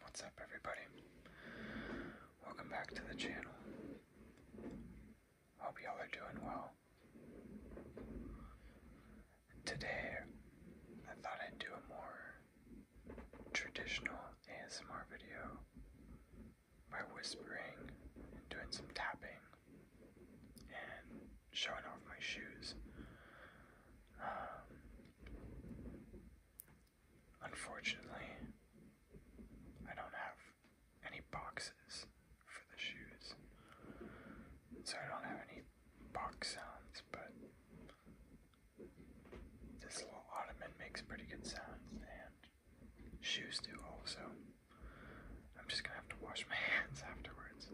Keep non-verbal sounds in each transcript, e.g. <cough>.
What's up, everybody? Welcome back to the channel. Hope y'all are doing well. Today, I thought I'd do a more traditional ASMR video by whispering doing some tapping and showing off my shoes. Um, Unfortunately, I don't have any boxes for the shoes, so I don't have any box sounds, but this little ottoman makes pretty good sounds, and shoes do also. I'm just gonna have to wash my <laughs> hands afterwards.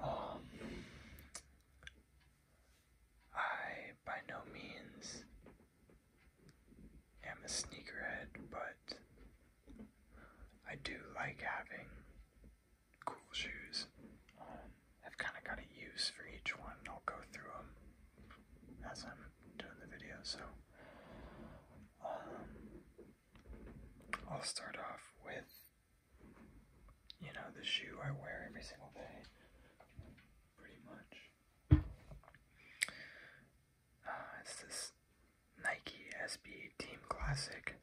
Um, I by no means am a sneakerhead, but I do like having cool shoes. Um, I've kind of got a use for each one, and I'll go through them as I'm doing the video. So, um, I'll start off with you know, the shoe I wear every single day, pretty much. Ah, it's this Nike SB Team Classic.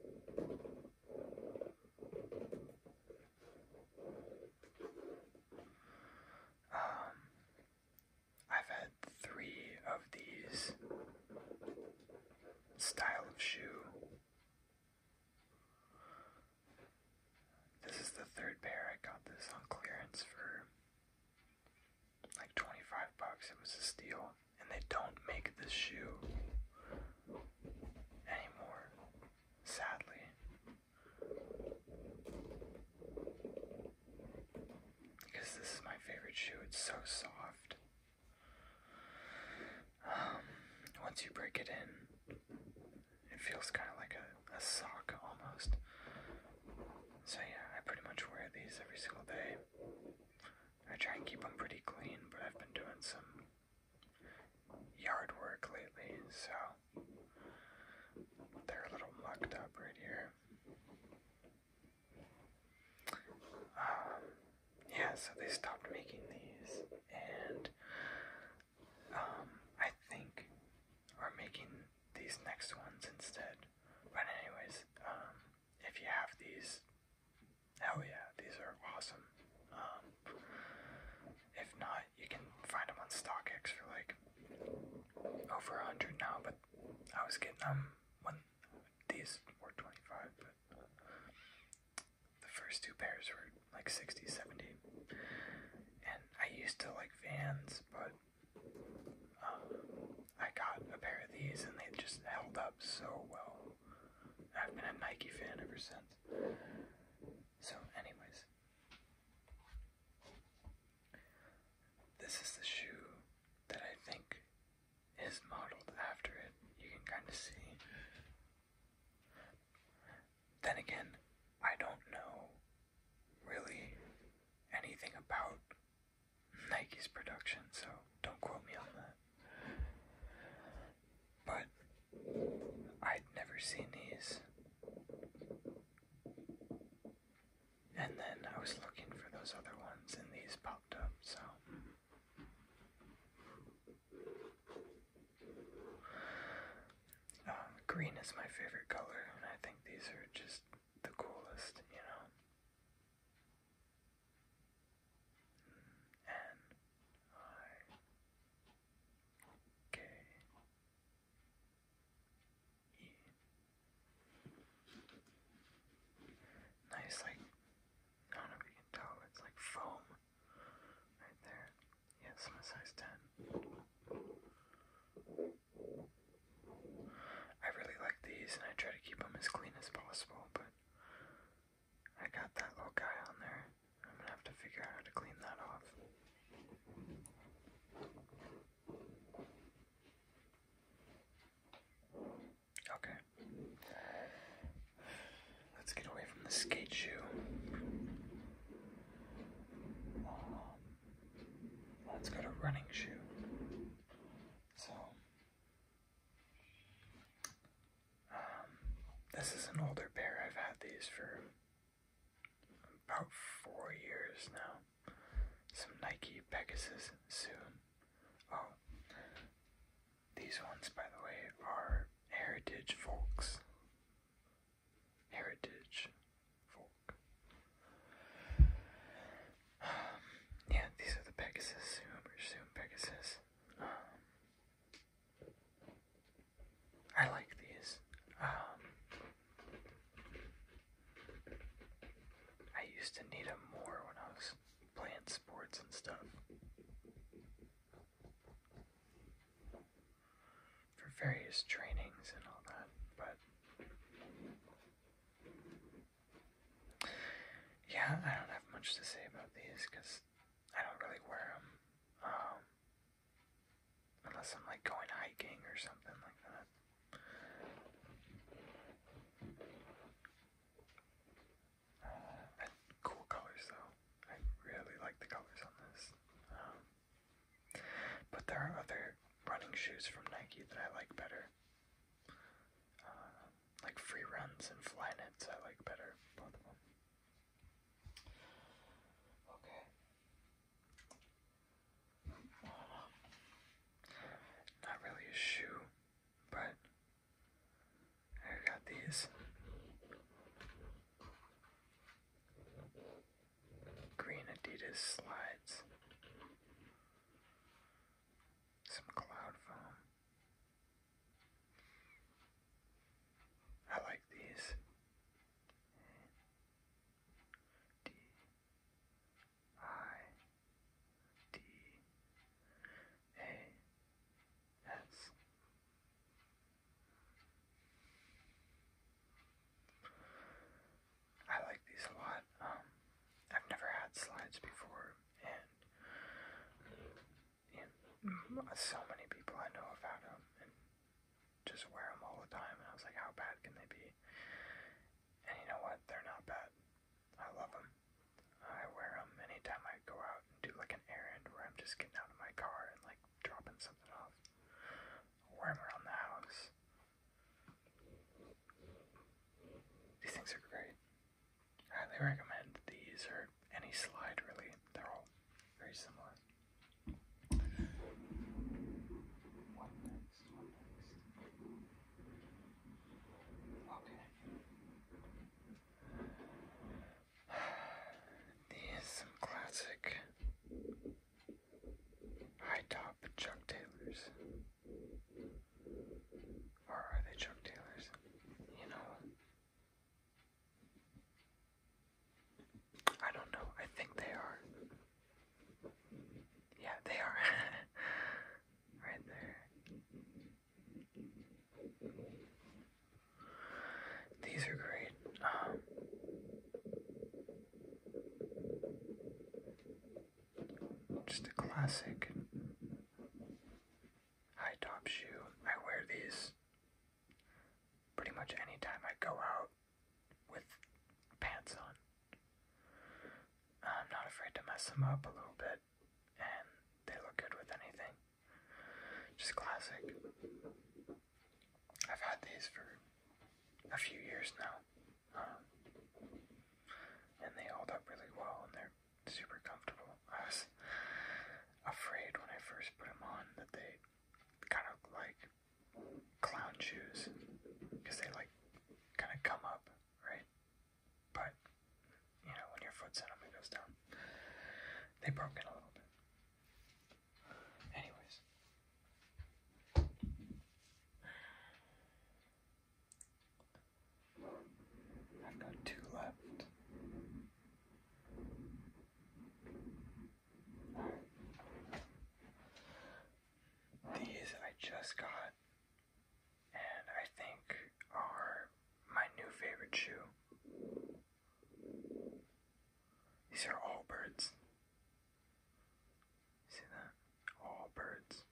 Um, I've had three of these style of shoe this is the third pair. I got this on clearance for like 25 bucks. It was a steal. And they don't make this shoe anymore, sadly. Because this is my favorite shoe. It's so soft. Um, once you break it in, it feels kind of like a, a sock almost. So, yeah, I pretty much wear these every single day. I try and keep them pretty clean, but I've been doing some yard work lately, so they're a little mucked up right here. Um, yeah, so they stopped making these, and um, I think are making these next ones instead. But anyways, um, if you have these, hell yeah, these are awesome. Um, if not, you can find them on StockX for like over a hundred now. But I was getting them when these were twenty five, but the first two pairs were like 60, 70. And I used to like Vans, but um, I got a pair of these and they just held up so well. I've been a Nike fan ever since. So, anyways, this is the shoe that I think is modeled after it. You can kind of see then again, I don't know really anything about Nike's production, so don't quote me on that. But I'd never seen these. And then I was looking for those other ones, and these popped up, so. Um, green is my favorite color, and I think these are just the coolest, you know. Mm, N I K E. Nice, like I don't know if you can tell, it's like foam Right there. Yes, i size 10. I really like these, and I try to keep them as clean as possible, but I got that little guy on there. I'm gonna have to figure out how to clean that off. Okay. Let's get away from the skate shoe. let's go to running shoe. So, um, this is an older pair. I've had these for about four years now. Some Nike Pegasus soon. Oh, these ones, by the way, are heritage folks. Heritage folk. <sighs> yeah, these are the Pegasus, Zoomer, Zoom Pegasus. Um, I like these. Um, I used to need them more when I was playing sports and stuff for various trainings and all that, but yeah, I don't have much to say about these because I don't really wear them um, unless I'm like going hiking or something like that cool colors though. I really like the colors on this. Um, but there are other running shoes from Nike that I like better. Um, like Free Runs and Flyknits I like better, both of them. Okay. Not really a shoe, but I got these green Adidas slides, some cloud foam. I like these. D I D A Yes. I like these a lot. Um, I've never had slides before, and, and so many people I know have had them and just wear them all the time. And I was like, how bad can they be? And you know what? They're not bad. I love them. I wear them anytime I go out do like an errand where I'm just getting out of my car and like dropping something off, or I'm around the house. These things are great. highly recommend these or any slide really. They're all very similar. What next? What next? Okay. <sighs> These some classic high top Chuck Taylors. Or are they Chuck Taylors? You know. I don't know. I think they are. Yeah, they are. <laughs> right there. These are great. <gasps> just a classic high top shoe. I wear these pretty much anytime I go out with pants on. I'm not afraid to mess them up a little bit, and they look good with anything. Just classic. I've had these for a few years now. Um, and they hold up really well and they're super comfortable. I was afraid when I first put them on that they kind of like clown shoes because they like kind of come up, right? But you know, when your foot's in them, it goes down. They broke in a little bit, Anyways. i got two left. These I just got, and I think are my new favorite shoe. These are all birds. See that? All birds.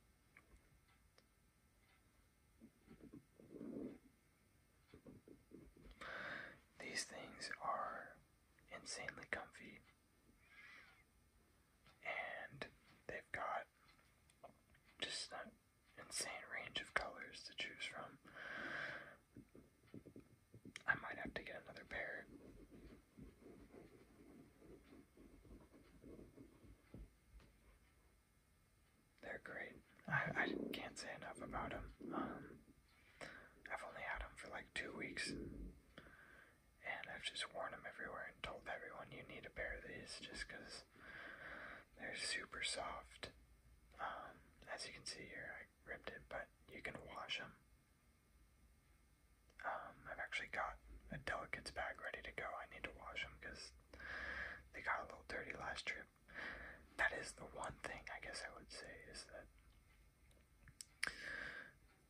These things are insanely comfy. And they've got just an insane range of colors to choose from. I might have to get another pair. They're great. I, I can't say enough about them. Um, I've only had them for like two weeks, and I've just worn them everywhere and told everyone you need a pair of these just because they're super soft. Um, as you can see here, ripped it, but you can wash them. Um, I've actually got a delicates bag ready to go. I need to wash them because they got a little dirty last trip. That is the one thing I guess I would say is that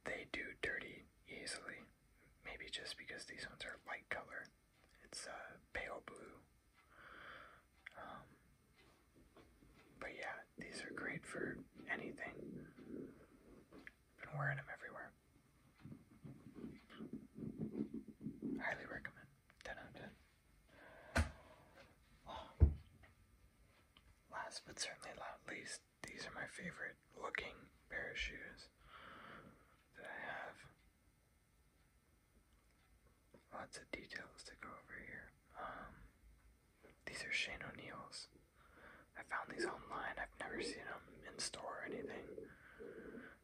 they do dirty easily. Maybe just because these ones are light color. It's a uh, pale blue um, but yeah, these are great for anything. I've been wearing them everywhere. Highly recommend. 10 out of 10. Last but certainly not least, these are my favorite looking pair of shoes that I have. Lots of details to go over here. Um, these are Shane O'Neill's. I found these online. I've never seen them in store or anything,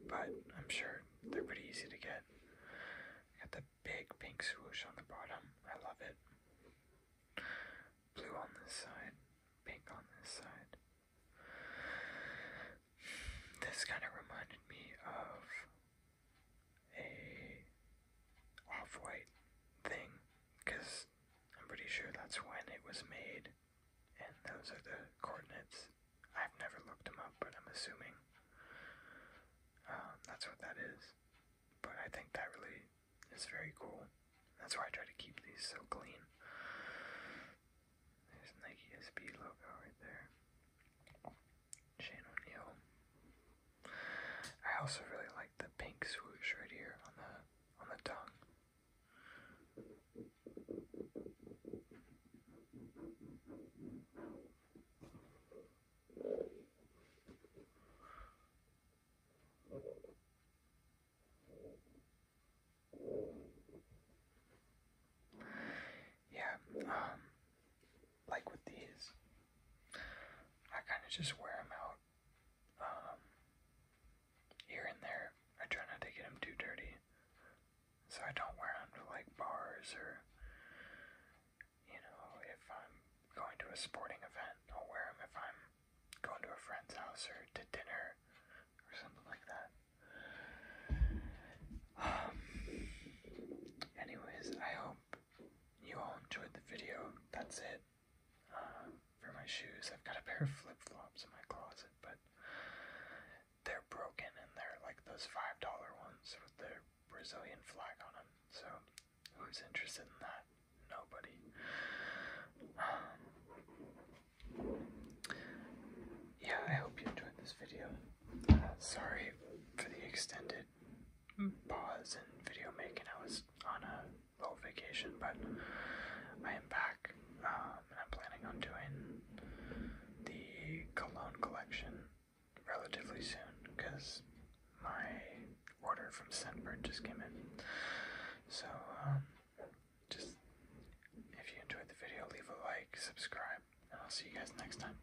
but I'm sure they're pretty easy to get. Got the big pink swoosh on the bottom. I love it. Blue on this side, pink on this side. This kind of reminded me of a off-white thing, because I'm pretty sure that's when it was made, and those are the coordinates. I've never looked them up, but I'm assuming um, that's what that is. But I think that really is very cool. That's why I try to keep these so clean. There's Nike SB logo right there. Shane O'Neill. I also really like the pink swoosh right here on the on the tongue yeah, um, like with these, I kind of just wear them out um, here and there. I try not to get them too dirty, so I don't wear them to like bars or, you know, if I'm going to a sporting event, I'll wear them if I'm going to a friend's house or to dinner or something like that. Um, anyways, I hope you all enjoyed the video, that's it. Um, for my shoes, I've got a pair of flip flops in my closet, but they're broken and they're like those $5 ones with the Brazilian flag on them. So, who's interested in that? Nobody. Um, yeah, I hope you enjoyed this video. Uh, sorry for the extended pause in video making. I was on a little vacation, but I am back, um, and I'm planning on doing the cologne collection relatively soon because my order from Scentbird just came in. So, um, just if you enjoyed the video, leave a like, subscribe, and I'll see you guys next time.